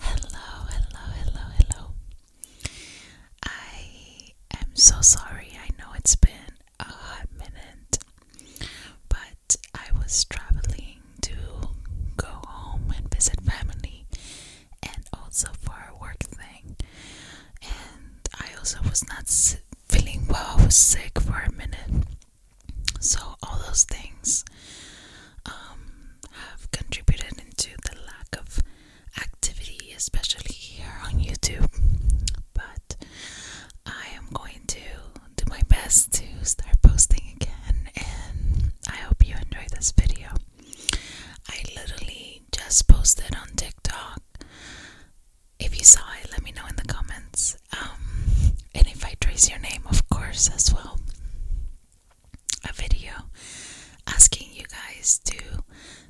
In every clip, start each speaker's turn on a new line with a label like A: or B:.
A: Hello, hello, hello, hello. I am so sorry. I know it's been a hot minute, but I was traveling to go home and visit family and also for a work thing. And I also was not feeling well, I was sick for a minute. So, all those things um, have contributed into the lack of activity, especially here on YouTube. But I am going to do my best to start posting again, and I hope you enjoyed this video. I literally just posted on TikTok. If you saw it, let me know in the comments. Um, and if I trace your name, of course, as well a video asking you guys to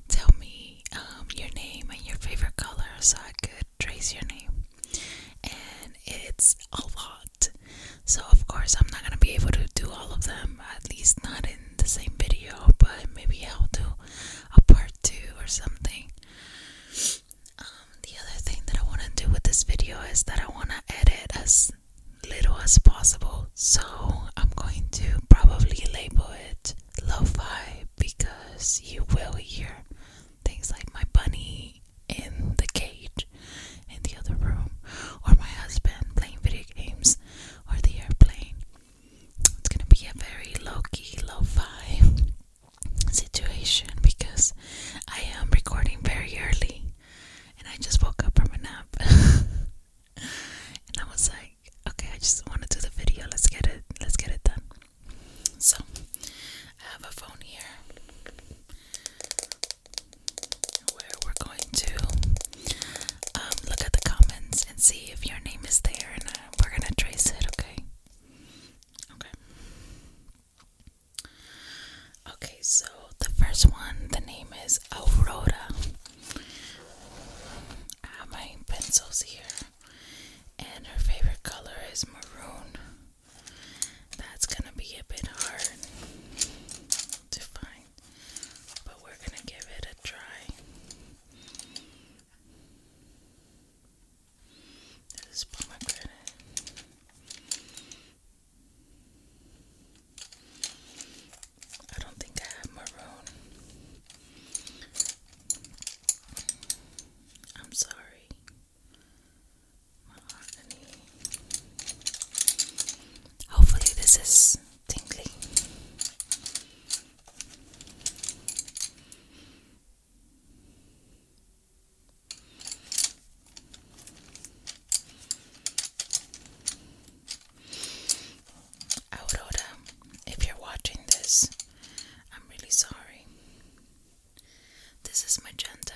A: tell me um, your name and your favorite color so I could trace your name. And it's a lot. So, of course, I'm not going to be able to do all of them, at least not in the same video, but maybe I'll do a part two or something. Um, the other thing that I want to do with this video is that I want to edit as little as possible. So I'm going to probably label it lo fi because you will hear things like my bunny in the cage in the other room, or my husband playing video games, or the airplane. It's gonna be a very low key, lo fi situation because I am recording very early and I just woke up from a nap. and I was like, okay, I just want to do the video. Let's get it. Let's get it done. So, I have a phone here where we're going to um, look at the comments and see if your name is there, and uh, we're gonna trace it. Okay. Okay. Okay, so the first one, the name is Aurora. I have my pencils here, and her favorite color is maroon. That's gonna be a bit hard to find, but we're gonna give it a try. This is pomegranate. I don't think I have maroon. I'm sorry. Hopefully, this is tingly. Aurora, if you're watching this, I'm really sorry. This is magenta,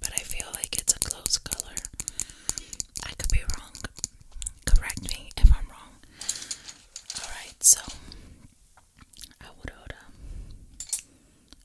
A: but I feel like it's a close color. I could be wrong. Correct me if I'm wrong. Alright, so Aurora,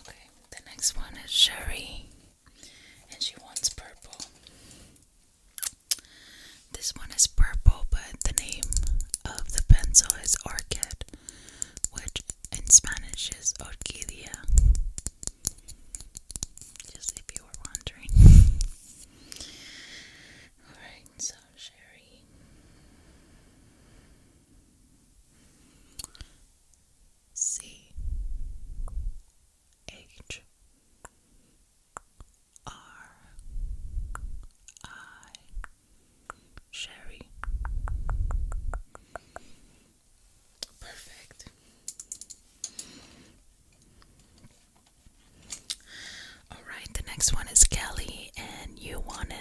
A: Okay, the next one is Sherry, and she wants purple. This one is purple, but the name of the pencil is Orchid, which in Spanish is Orquídea. Just if you were wondering. Alright, so Sherry. C H R I Sherry. Perfect. All right, the next one is Kelly, and you wanted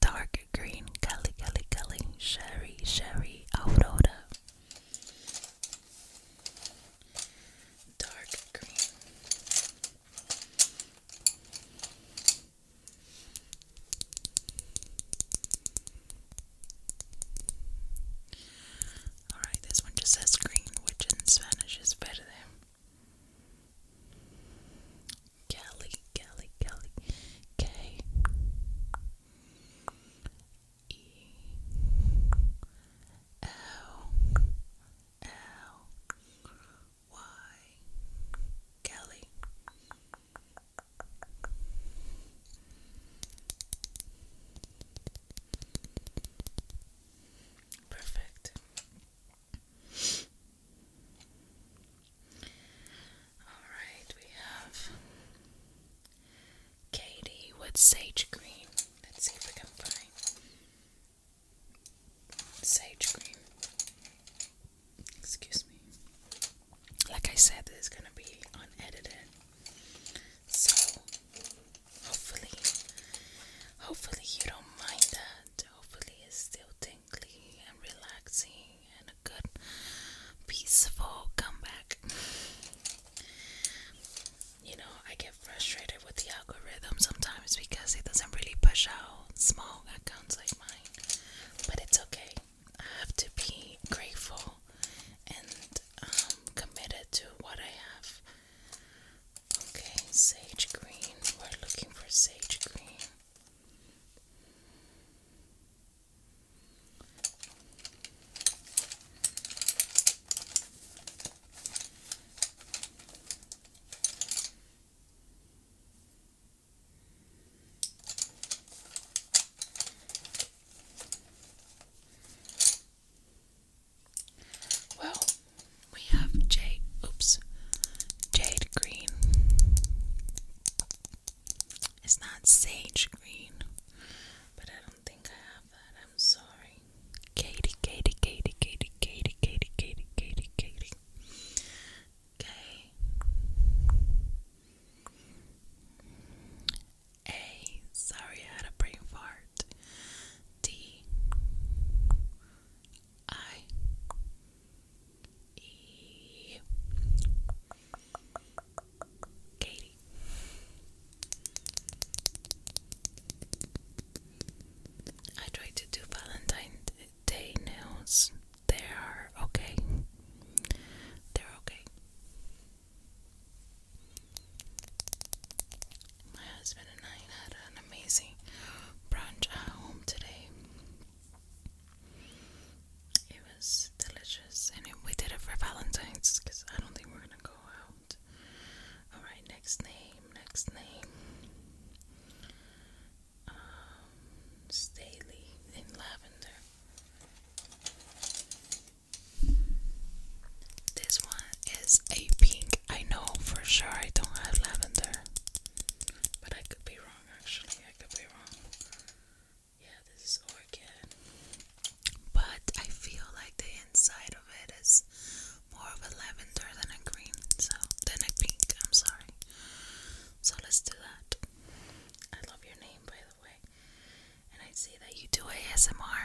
A: dark green Kelly Kelly Kelly Sherry Sherry Aurora dark green Alright, this one just says green, which in Spanish is verde. Kelly, Kelly, Kelly, K E L L Y Kelly. Perfect. Alright, we have Katie with sage green. Let's see if we can find sage green. Excuse me. Like I said, this is going to be unedited. So, hopefully, hopefully you don't mind that. Hopefully, it's still and relaxing and a good peaceful comeback. You know, I get frustrated with the algorithm sometimes because it doesn't really push out small accounts like mine. But it's okay. I have to be grateful and um, committed to what I have. Okay, sage green. We're looking for sage green. Well, we have J. Oops, jade green. It's not sage green, but I don't think I have that. I'm sorry. Katie, Sorry, I had a brain fart. D I E Katie I try to do Valentine's Day nails. They are okay. They're okay. My husband and I had an amazing brunch at home today. It was delicious, and we did it for Valentine's because I don't think we're gonna go out. Alright, next name, next name. Um, Staley in lavender. This one is a pink. I know for sure I don't have lavender, but I could be wrong actually. I could be wrong. Yeah, this is orchid. But I feel like the inside of it is more of a lavender than a green, so than a pink, I'm sorry. So let's do that. I love your name by the way. And I see that you do ASMR.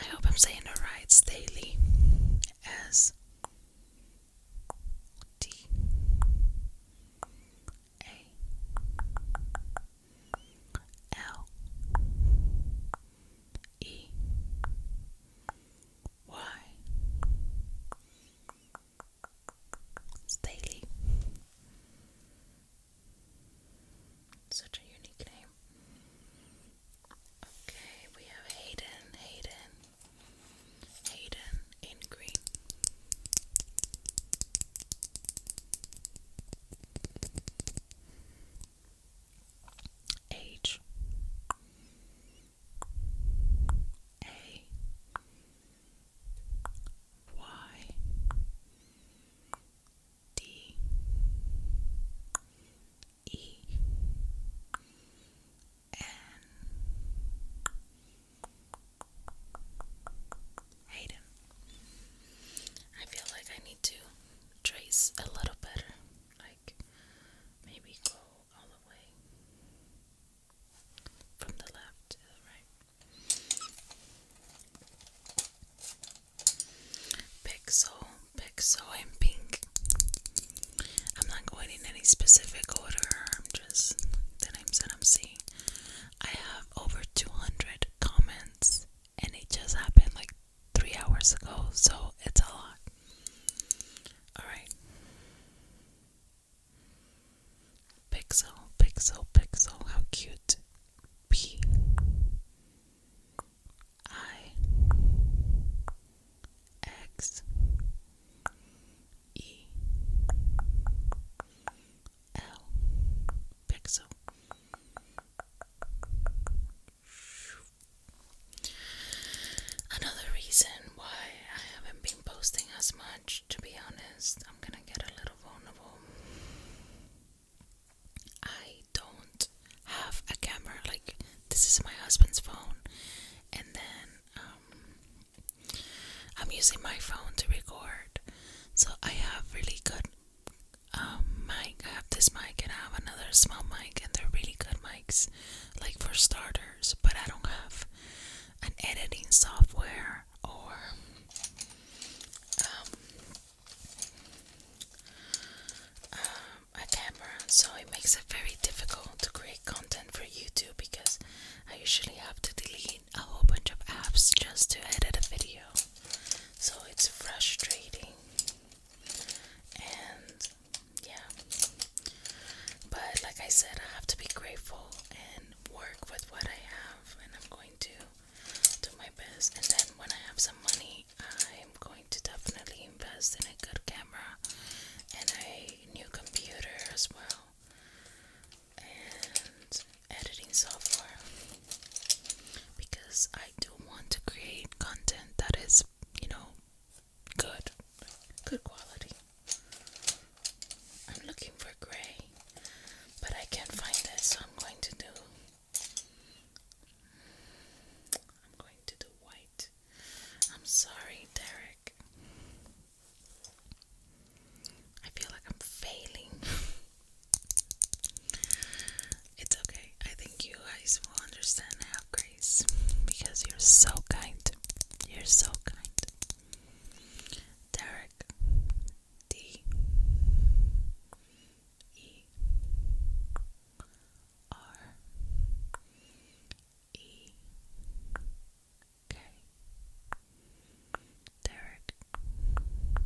A: I hope I'm saying it right. Staley. S D A L E Y Staley. Such a unique name. Okay, we have Hayden, Hayden, Hayden in green. H A Y D E Hayden. I feel like I need to trace a little better, like maybe go all the way from the left to the right. Pixel, pixel, and pink. I'm not going in any specific order. I'm just the names that I'm seeing. I have over 200 comments, and it just happened like three hours ago, so it's a lot. Alright. Pixel, pixel, pixel. How cute. P. I. X E L Pixel. Another reason why I haven't been posting as much, to be honest, I'm gonna get a little vulnerable. I don't have a camera, like, this is my husband's phone, and then um, I'm using my phone to record, so I have really good um, mic. I have this mic and I have another small mic, and they're really good mics, like for starters. But I don't have an editing software or um, I can't so it makes it very difficult to create content for YouTube because I usually have to delete a whole bunch of apps just to edit a video. So it's frustrating. And yeah. But like I said, I have to be grateful and work with what I have, and I'm going to do my best. And then when I have some money, I'm going to definitely invest in a good camera. And I new computer as well and editing software because I do want to create content that is, you know, good, good quality. I'm looking for gray, but I can't find it, so I'm going to do. I'm going to do white. I'm sorry, Derek. I feel like I'm failing. it's okay. I think you guys will understand grace because you're so kind. You're so kind. Derek D E R E K Derek. Okay.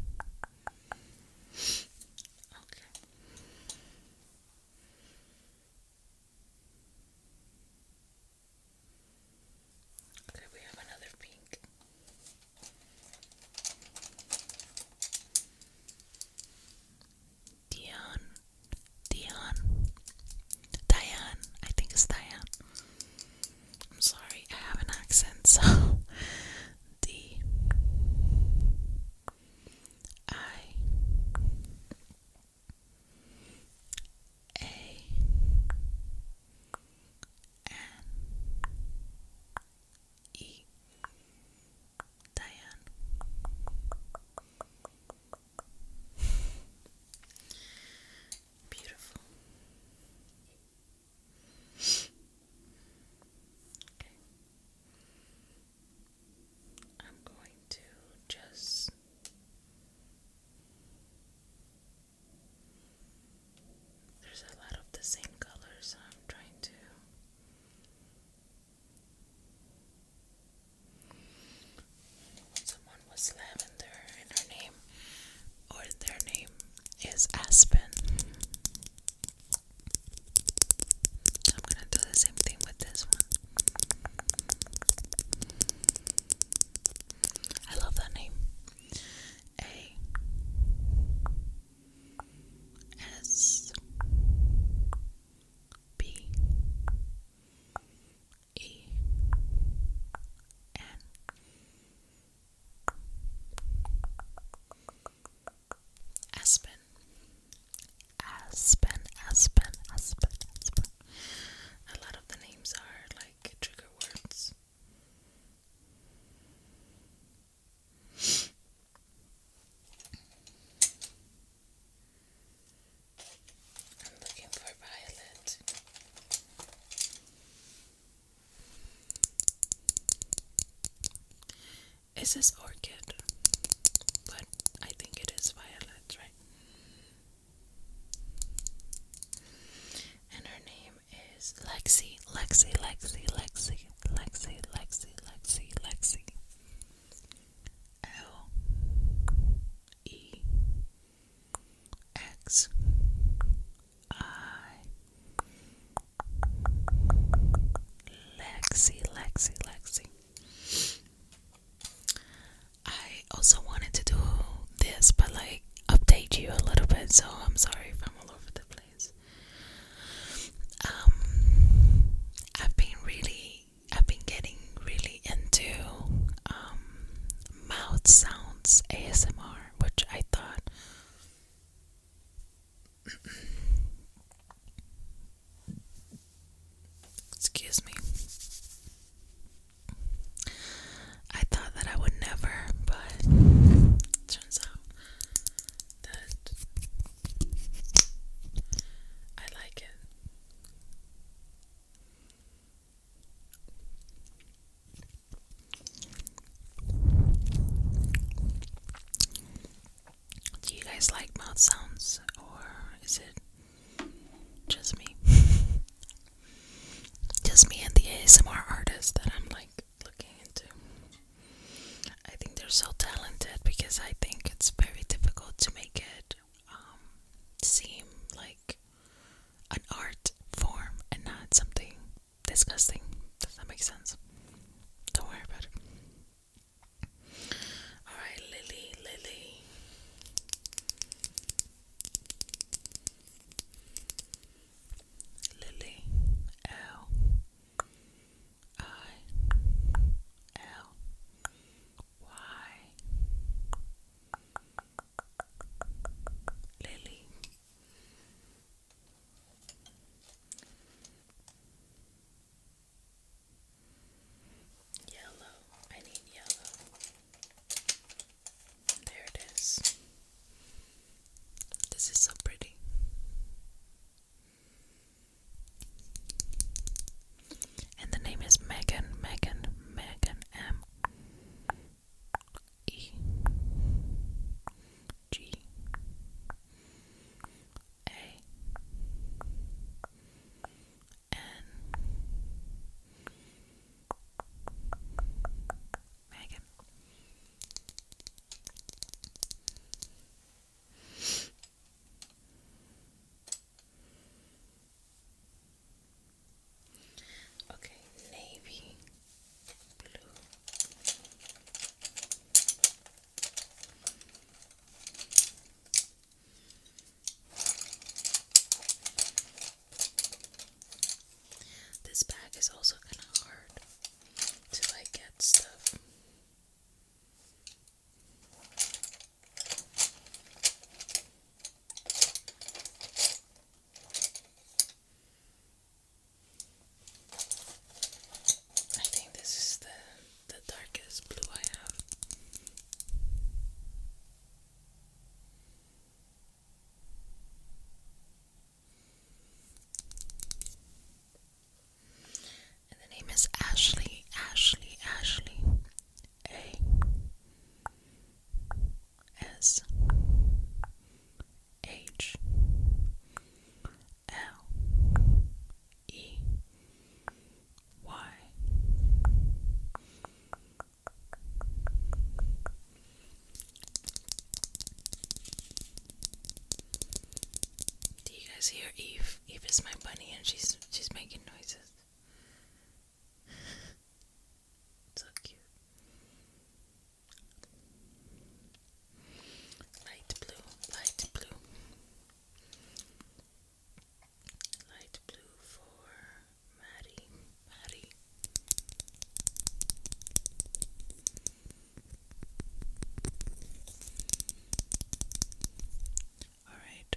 A: Okay, we have another pink. Dion, Dion, Diane. I think it's Diane. I'm sorry, I have an accent, so D I A N E Diane Beautiful. Okay. I'm going to just there's a lot of the same colors I'm trying to Someone was Lavender and her name, or their name, is Aspen. I'm gonna do the same thing with this one. I love that name. A S B E N Aspen Aspen Aspen Aspen Aspen A lot of the names are like trigger words I'm looking for violet. Is this orchid? But I think it is violet, right? And her name is Lexi, Lexi, Lexi, Lexi, Lexi, Lexi, Lexi, Lexi. L E X I Lexi, Lexi, Lexi. I also wanted to do this, but like update you a little bit, so I'm sorry if I'm all over the place. Um, I've been really I've been getting really into um, mouth sounds ASMR, which I thought excuse me. I thought that I would never, but turns out that I like it. Do you guys like mouth sounds or is it just me? just me and the ASMR artists that I'm like looking into. I think they're so talented because I think it's very difficult to make it um, seem like an art form and not something disgusting. Does that make sense? Don't worry about it. Alright, Lily, Lily. Lily L I L why? Lily. Yellow. I need yellow. There it is. This is so pretty. And the name is Megan, Megan, Megan M E G A N Megan. Okay, navy blue. This bag is also kind of hard to like get stuff. I think this is the the darkest blue I have. And the name is Ashley, Ashley, Ashley. A S H L E Y Do you guys hear Eve? Eve is my bunny and she's she's making noises so cute. Light blue, light blue, light blue for Maddie, Maddie. All right,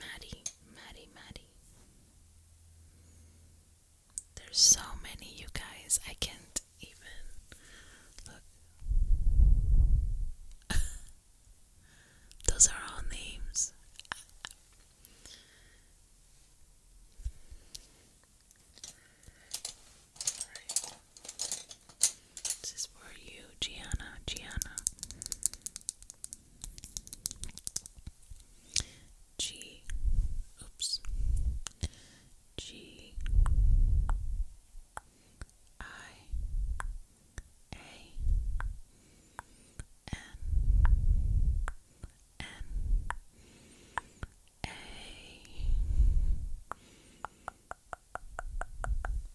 A: Maddie, Maddie, Maddie. There's so many, you guys. I can't even look. Those are all names. All right. This is for you, Gianna. Gianna. G, oops, G, I, A, N, N, A,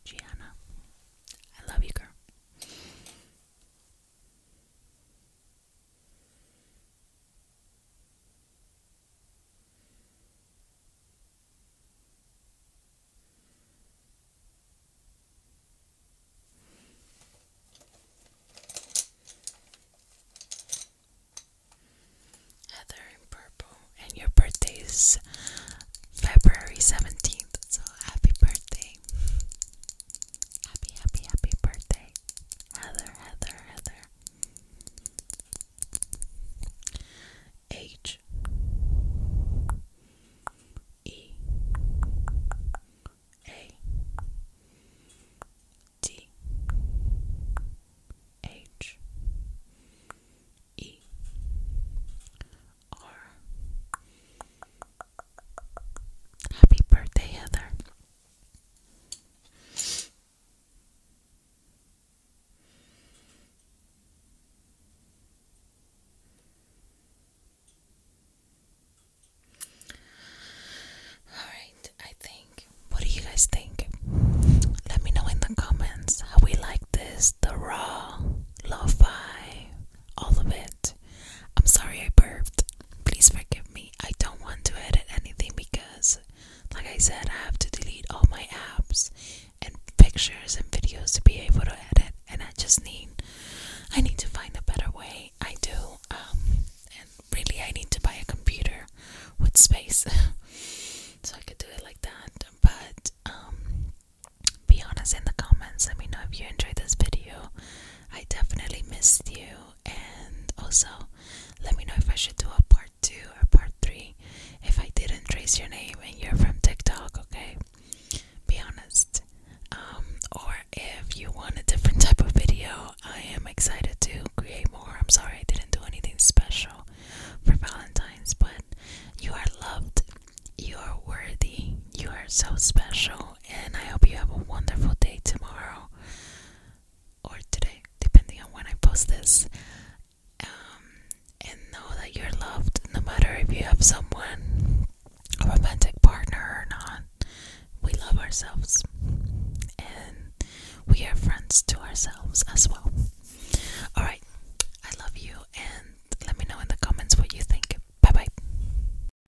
A: Gianna. I love you, girl. Heather in purple, and your birthday is February 17th, so happy birthday. Happy, happy, happy birthday, Heather, Heather, Heather. H E A D H E R Happy birthday, Heather. Alright, I think. What do you guys think? Let me know in the comments how we like this the raw, lo fi, all of it. I'm sorry I burped. Please forgive me. I don't want to edit anything because, like I said, I have to delete all my apps and pictures and videos to be able to edit. And I just need, I need to find a better way. I do. Um, and really, I need to buy a computer with space so I could do it like that. But um, be honest in the comments. Let me know if you enjoyed this video. I definitely missed you. And also, let me know if I should do a part two or part three if I didn't trace your name and you're from TikTok, okay? Be honest. Um, or if you want a different type of video, I am excited to create more. I'm sorry I didn't do anything special for Valentine's, but you are loved, you are worthy, you are so special, and I hope you have a wonderful day tomorrow or today, depending on when I post this. Um, and know that you're loved no matter if you have someone, a romantic partner or not. We love ourselves, and we are friends to ourselves as well. Alright, I love you, and let me know in the comments what you think. Bye bye.